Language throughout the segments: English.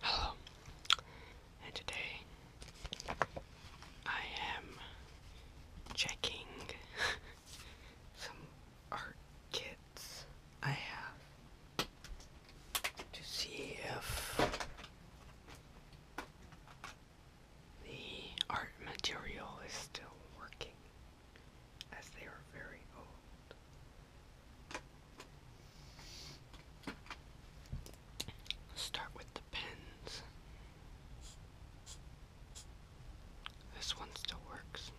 Hello, and today I am checking some art kits I have to see if the art material is still working as they are very old. Start with the pins. This one still works.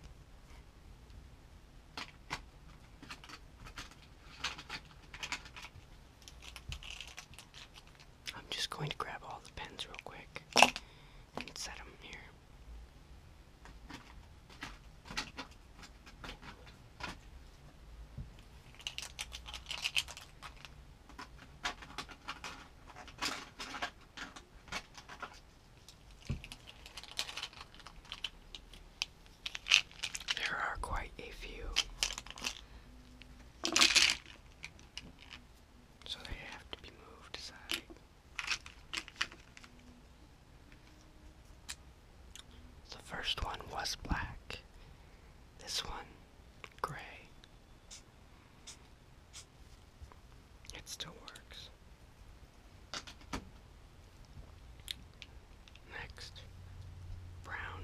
I'm just going to grab all the pens real quick and set them here. There are quite a few. So they have to be moved aside. The first one was black, this one gray. It still works. Next, brown.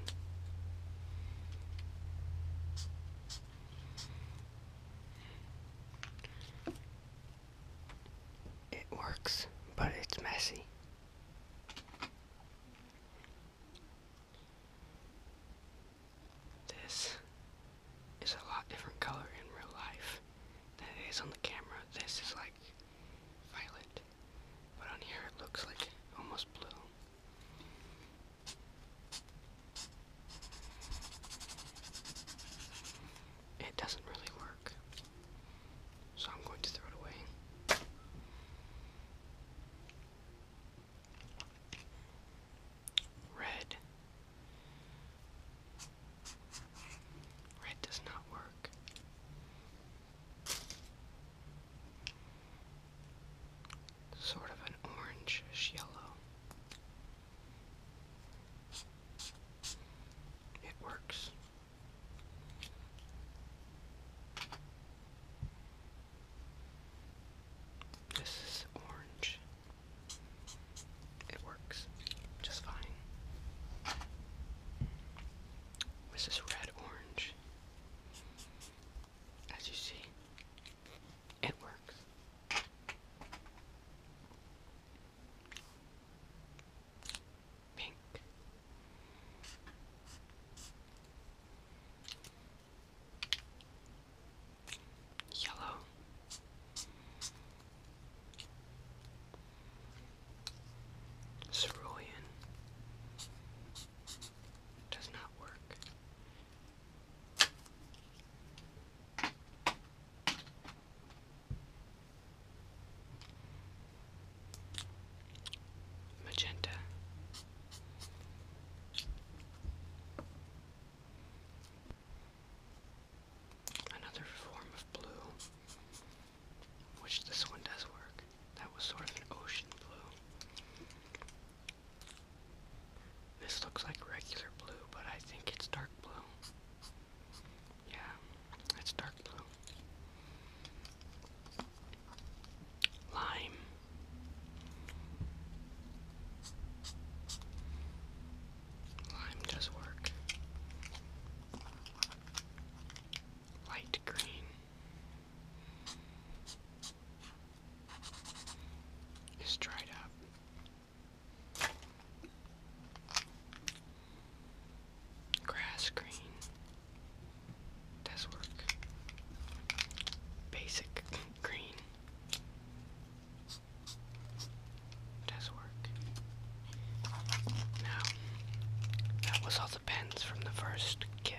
It works, but it's messy. This is a lot different color in real life than it is on the camera. This is like violet, but on here it looks like almost blue it doesn't really work. So I'm going to throw it away. Red. Red does not work. Sort of an orange yellow. It works. This is orange. It works just fine. This is red orange. As you see, it works. Pink. Yellow. Cerulean. Does not work magenta. Another form of blue, which this one does work. That was sort of an ocean blue. This looks like regular blue, but I think it's dark blue. Yeah, it's dark blue. Lime. Lime does work. Light green. It's dried up. Grass green. Does work. Basic green. Does work. Now, that was all the pens from the first kit.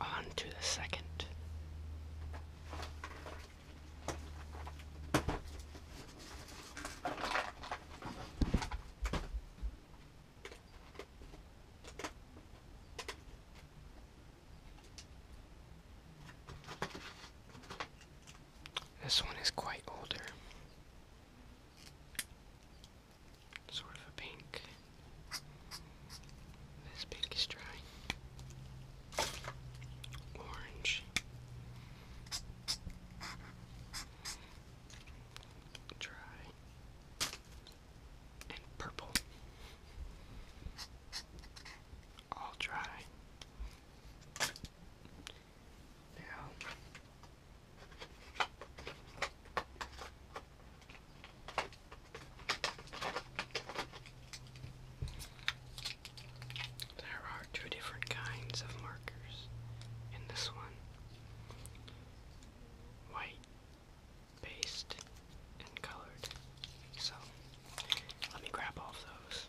on to the second. This one is quite older. Sort of a pink. This pink is dry. Orange. Dry. And purple. All dry. Now, there are two different kinds of markers in this one white, paste, and colored. So let me grab all those.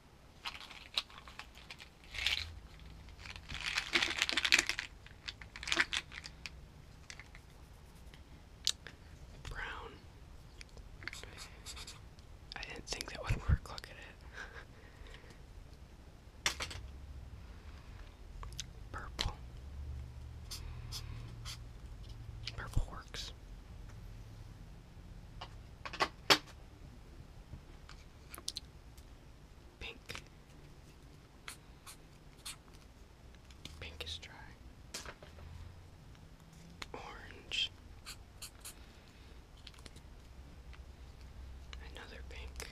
Brown. I didn't think that would work. Look at it. Purple. Purple works. Pink. Pink is dry. Orange. Another pink.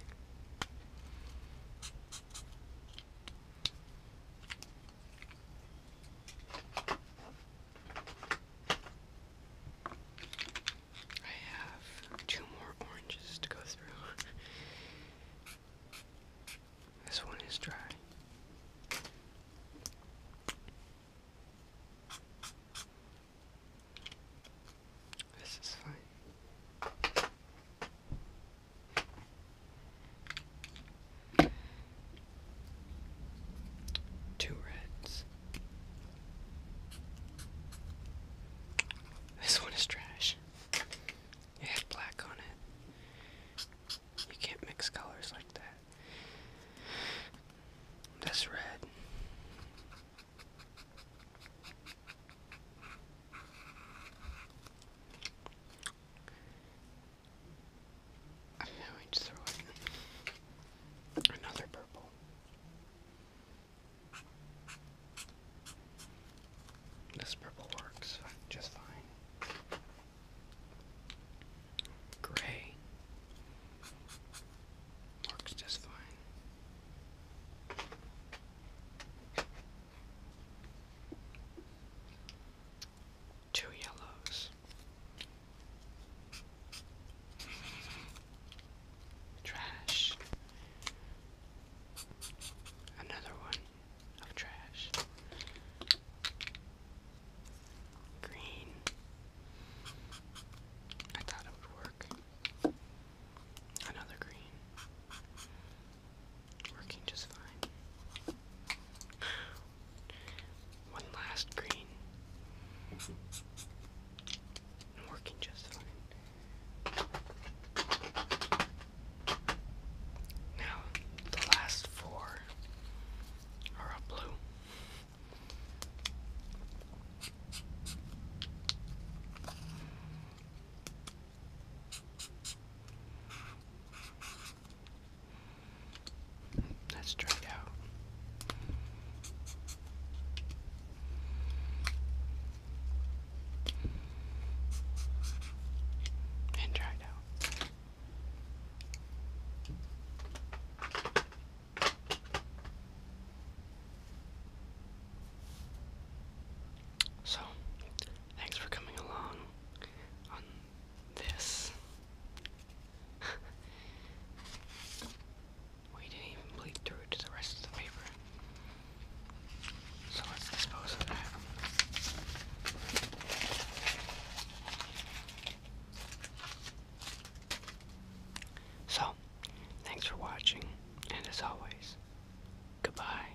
I have two more oranges to go through. this one is dry. This is fine. Two reds. This one is trash. It had black on it. You can't mix colors like that. That's red. I just throw it. Another purple. This purple works just fine. Gray works just fine two yellows, trash, another one of trash, green. I thought it would work. Another green. Working just fine. One last green. working just fine. Now, the last four are a blue. Let's try it out. And try it out. So, thanks for coming along this. we didn't even bleed through to the rest of the paper. So let's dispose of that. So, thanks for watching, and as always, goodbye.